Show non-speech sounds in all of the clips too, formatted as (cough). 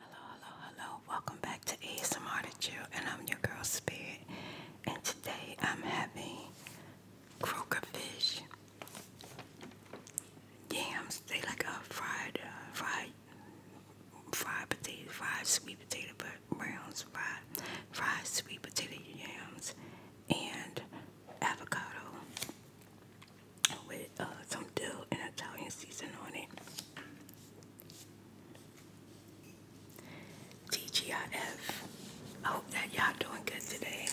Hello, hello, hello. Welcome back to ASMR to You, and I'm your girl Spirit. And today I'm having croaker fish. Yams, they like a fried, uh, fried, fried potato, fried sweet potato browns, fried, fried sweet potato yams, and avocado with uh, some dill and Italian season on it. TGIF. I hope that y'all doing good today.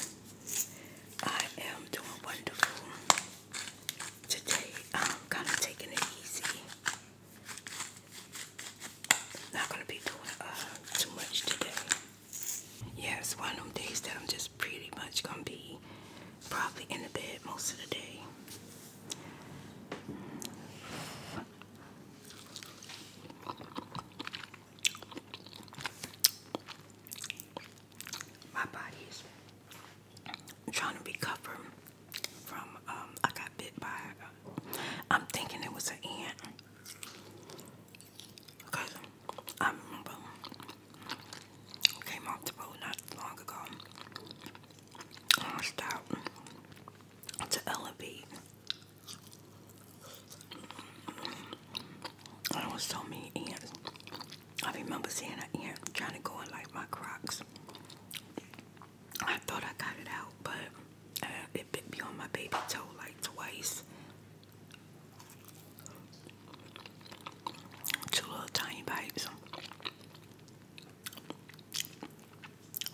I am doing wonderful. Today I'm kind of taking it easy. Not gonna be doing uh, too much today. Yeah, it's one of them days that I'm just pretty much gonna be probably in the bed most of the day. My body is trying to recover from, um, I got bit by, uh, I'm thinking it was an ant. Because I remember Came off the road not long ago. I stopped to elevate. There was so many ants. I remember seeing an ant trying to go in like my Crocs. I thought I got it out, but uh, it bit me on my baby toe like twice. Two little tiny bites.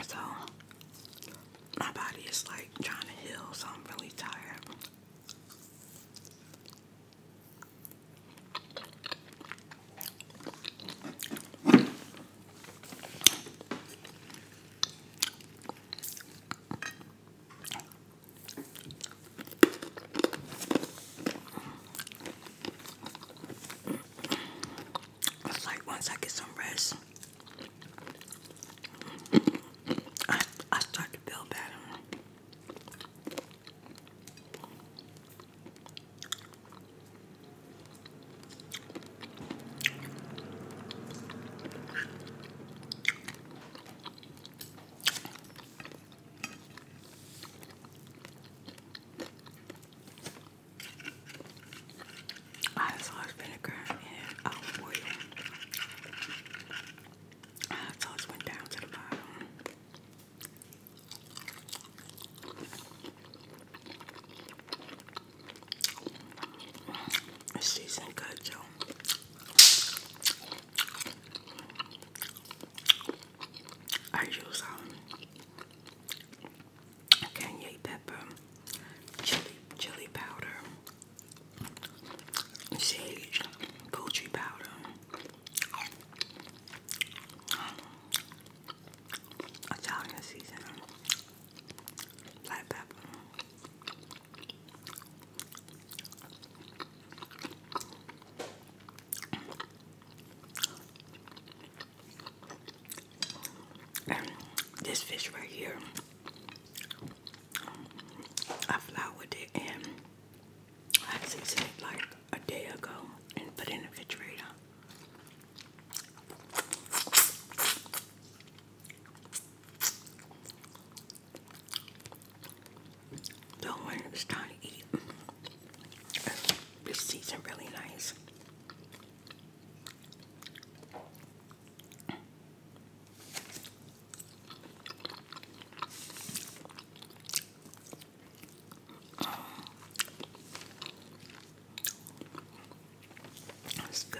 So my body is like trying to heal, so I'm really tired. It's like once I get some rest, I, start to feel better. Hot sauce vinegar and olive oil. Hot sauce went down to the bottom. It's seasoned good, though. I use um Kanye pepper, chili chili powder, sage, goji powder. Italian seasoning, black pepper this fish right here, I floured it and I seasoned it like a day ago and put in the refrigerator. So when it's time to eat, this seasoned really nice. That's good.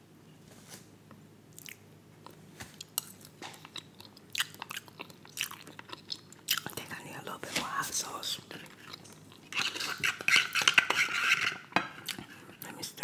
I think I need a little bit more hot sauce. Let me stir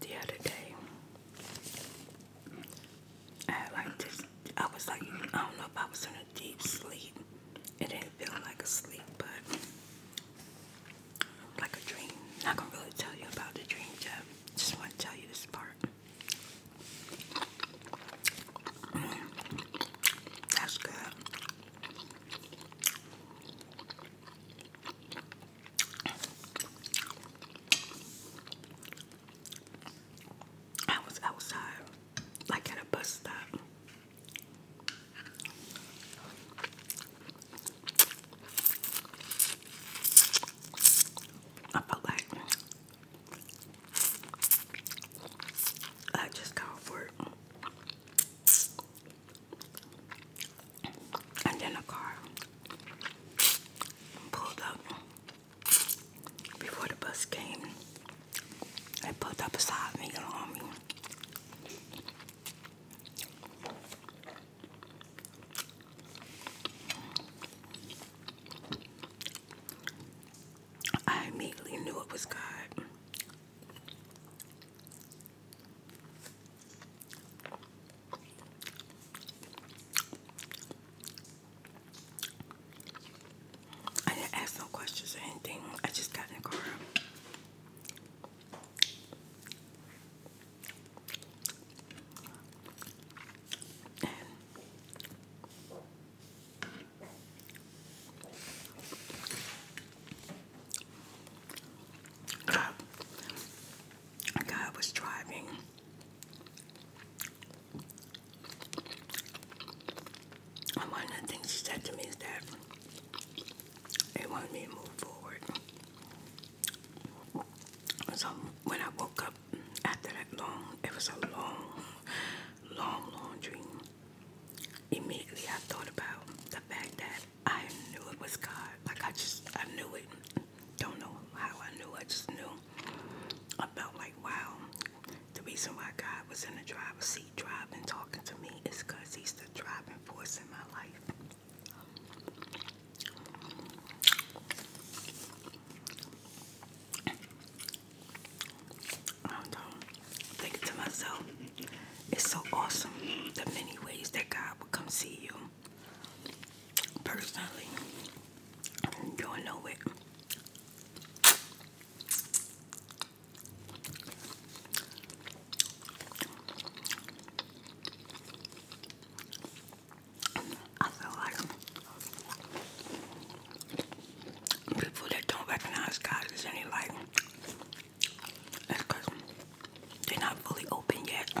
The other day, I like this. I was like, I don't know if I was in a deep sleep. It didn't feel like a sleep, but like a dream. Not gonna really tell you about the dream, Jeff. Just want to tell you this part. that's good. I was outside, like at a bus stop. I felt like I just got work. And then a car pulled up before the bus came. They pulled up beside me along I immediately knew it was God. I didn't ask no questions or anything. I just got in the car a guy was driving. And one of things said to me is that they wanted me to move forward. So when I woke up after that long, it was a long, long, long dream. Immediately I thought about the fact that I knew it was God. Like I just, I knew it. Don't know how I knew. I just knew. I felt like, wow, the reason why God was in the driver's seat driving, talking to me is because he's the driving force in my life. I do Thinking to myself, it's so awesome the many ways that God will come see you personally enjoying no I feel like people that don't recognize God is any like that's they're not fully open yet.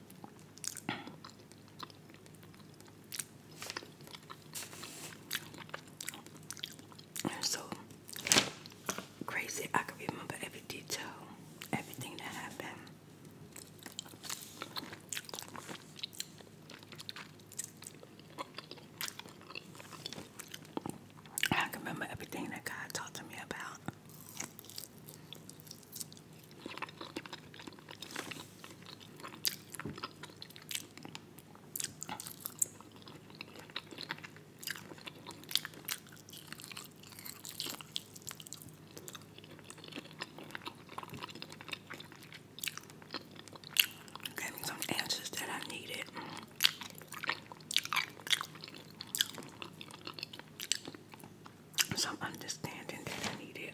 so crazy. I can remember every detail, everything that happened. I remember everything that God talked to me about. Gave me some answers that I needed some understanding that I needed.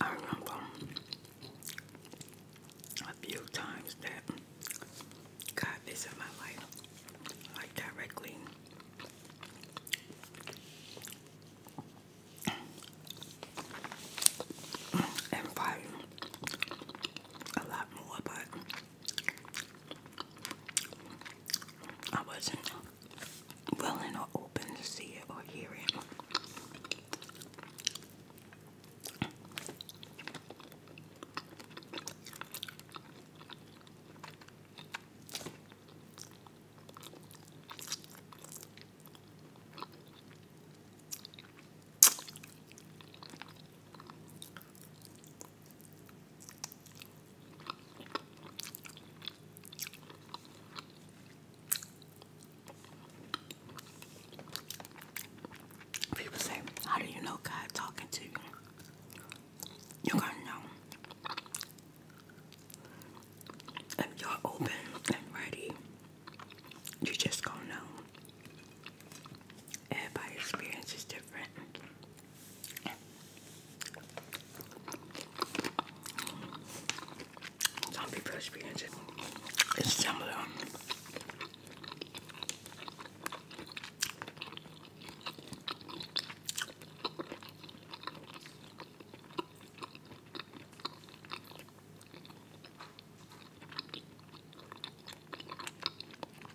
I remember a few times that God visited my life, like directly. And fighting a lot more, but I wasn't willing or open to see it or hear it. People say, How do you know God talking to you? You're gonna know. If you're open and ready, you just gonna know. Everybody's experience is different. Some people experience it. It's similar.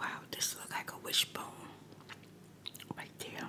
Wow, this looks like a wishbone right there.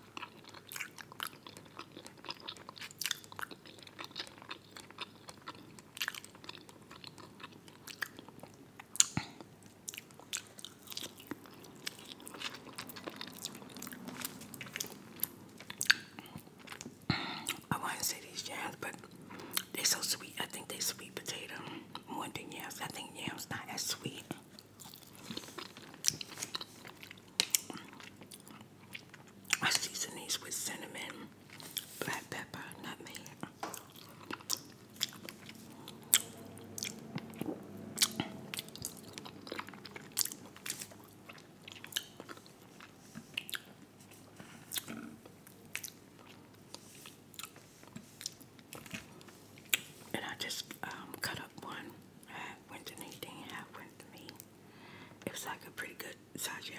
I want to say these yams, but they're so sweet. I think they're sweet potato more than yams. I think yams not as sweet. I season these with cinnamon, black pepper, nutmeg. And I just um, cut up one. Half went to Nadine, half went me. It was like a pretty good size, yeah.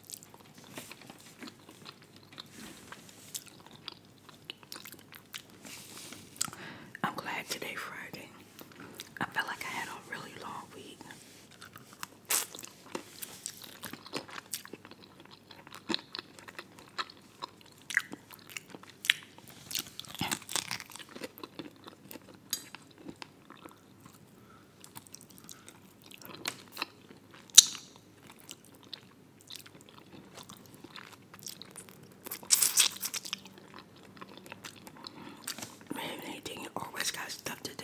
I'm glad today, Friday. I felt like I had a really long week i anything you always got stuff to do.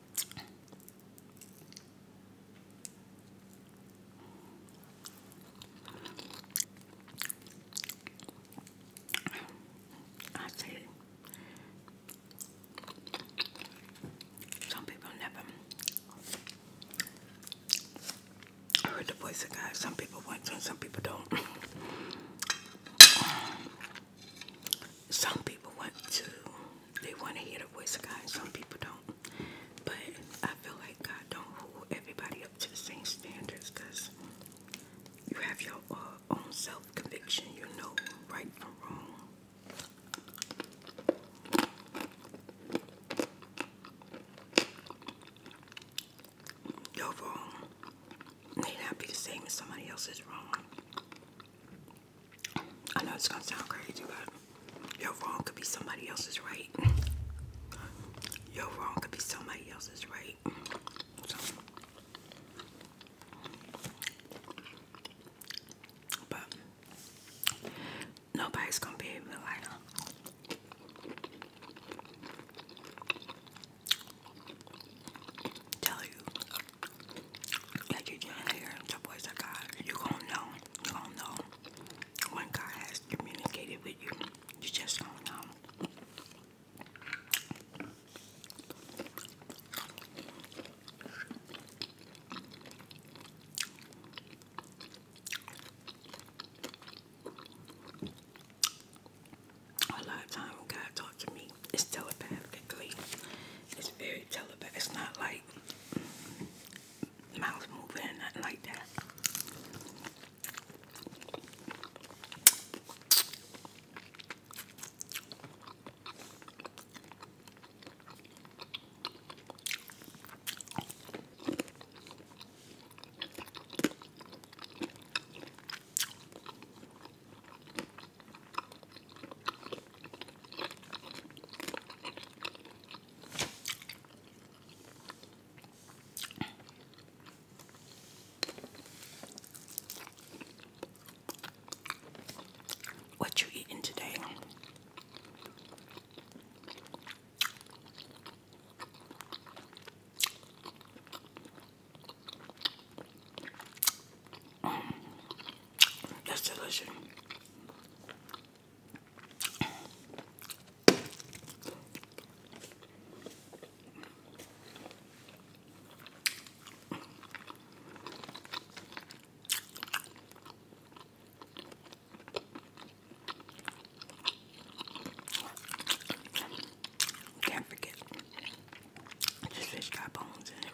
I see. Some people never heard the voice of God. Some people want to, some people don't. Some people want to, they want to hear the voice of God, some people don't. But I feel like God don't hold everybody up to the same standards because you have your uh, own self conviction, you know right from wrong. Your wrong may not be the same as somebody else's wrong. I know it's gonna sound crazy, but your wrong could be somebody else's right. Your wrong could be somebody else's right. but nobody's gonna be able to Tell you like you can hear the voice of God. You going know. You going know when God has communicated with you. You just don't know. A lot of time God talks to me, it's telepathically. It's very telepath. It's not like like mouth moving or nothing like that. What you eating today? That's delicious. Can't forget, this fish got bones in it.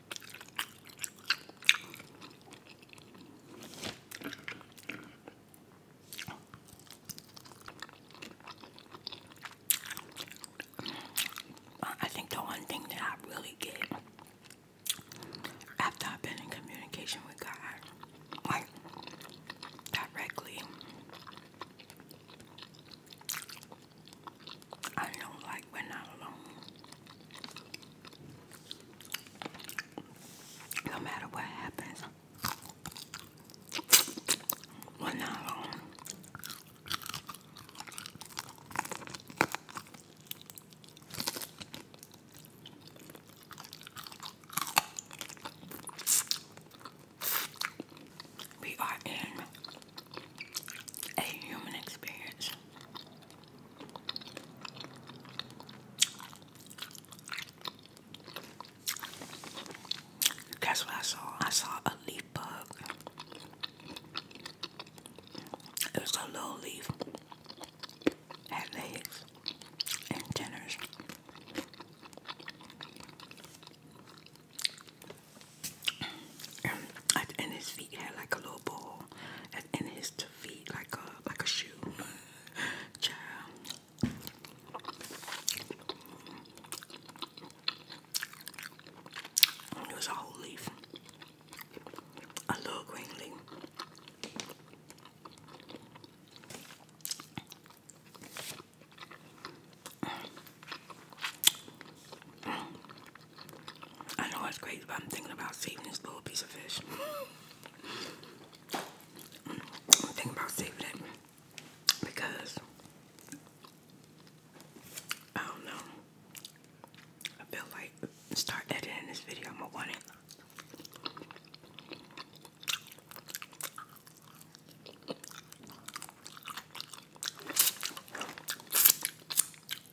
I think the one thing that I really get after I've been in communication with God, like directly, I do like when I'm alone. No matter what happens, when I'm alone, we are in a human experience. Guess what I saw? I saw a leaf bug. It was a little leaf. Had legs and tenders and, and his feet had like a little ball, and, and his feet like a like a shoe. (laughs) It was a whole leaf, a little green leaf. I know it's crazy, but I'm thinking about saving this little piece of fish. thinking about saving it because I don't know. I feel like start editing this video. I'm gonna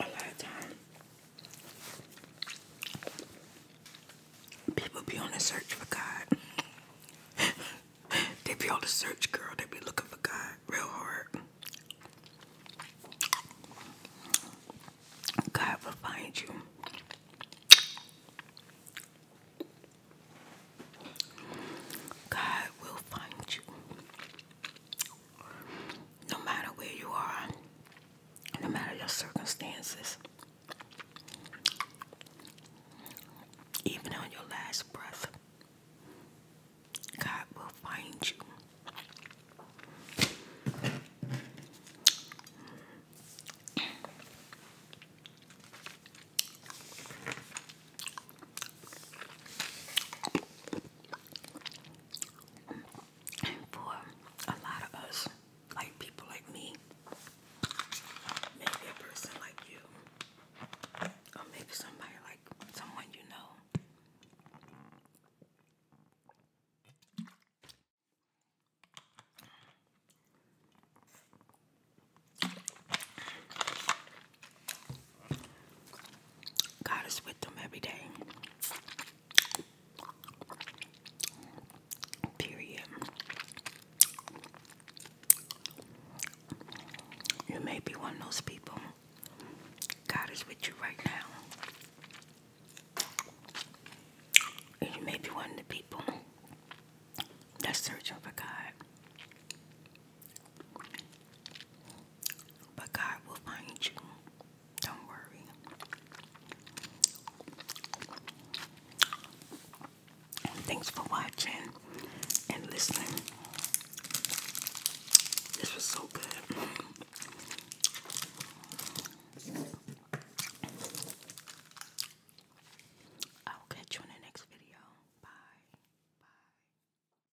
a lot of time people be on the search for God. (laughs) they be on the search, girl. They be looking for God real hard. God will find you. God will find you no matter where you are, no matter your circumstances, even on your last breath, God will find you. And for a lot of us, like people like me, maybe a person like you, or maybe somebody like someone you know. God is with them every day. Period. You may be one of those people. God is with you right now. And you may be one of the people that's searching for God. But God will find you. Don't worry. Thanks for watching and listening. This was so good. I'll catch you in the next video. Bye. Bye.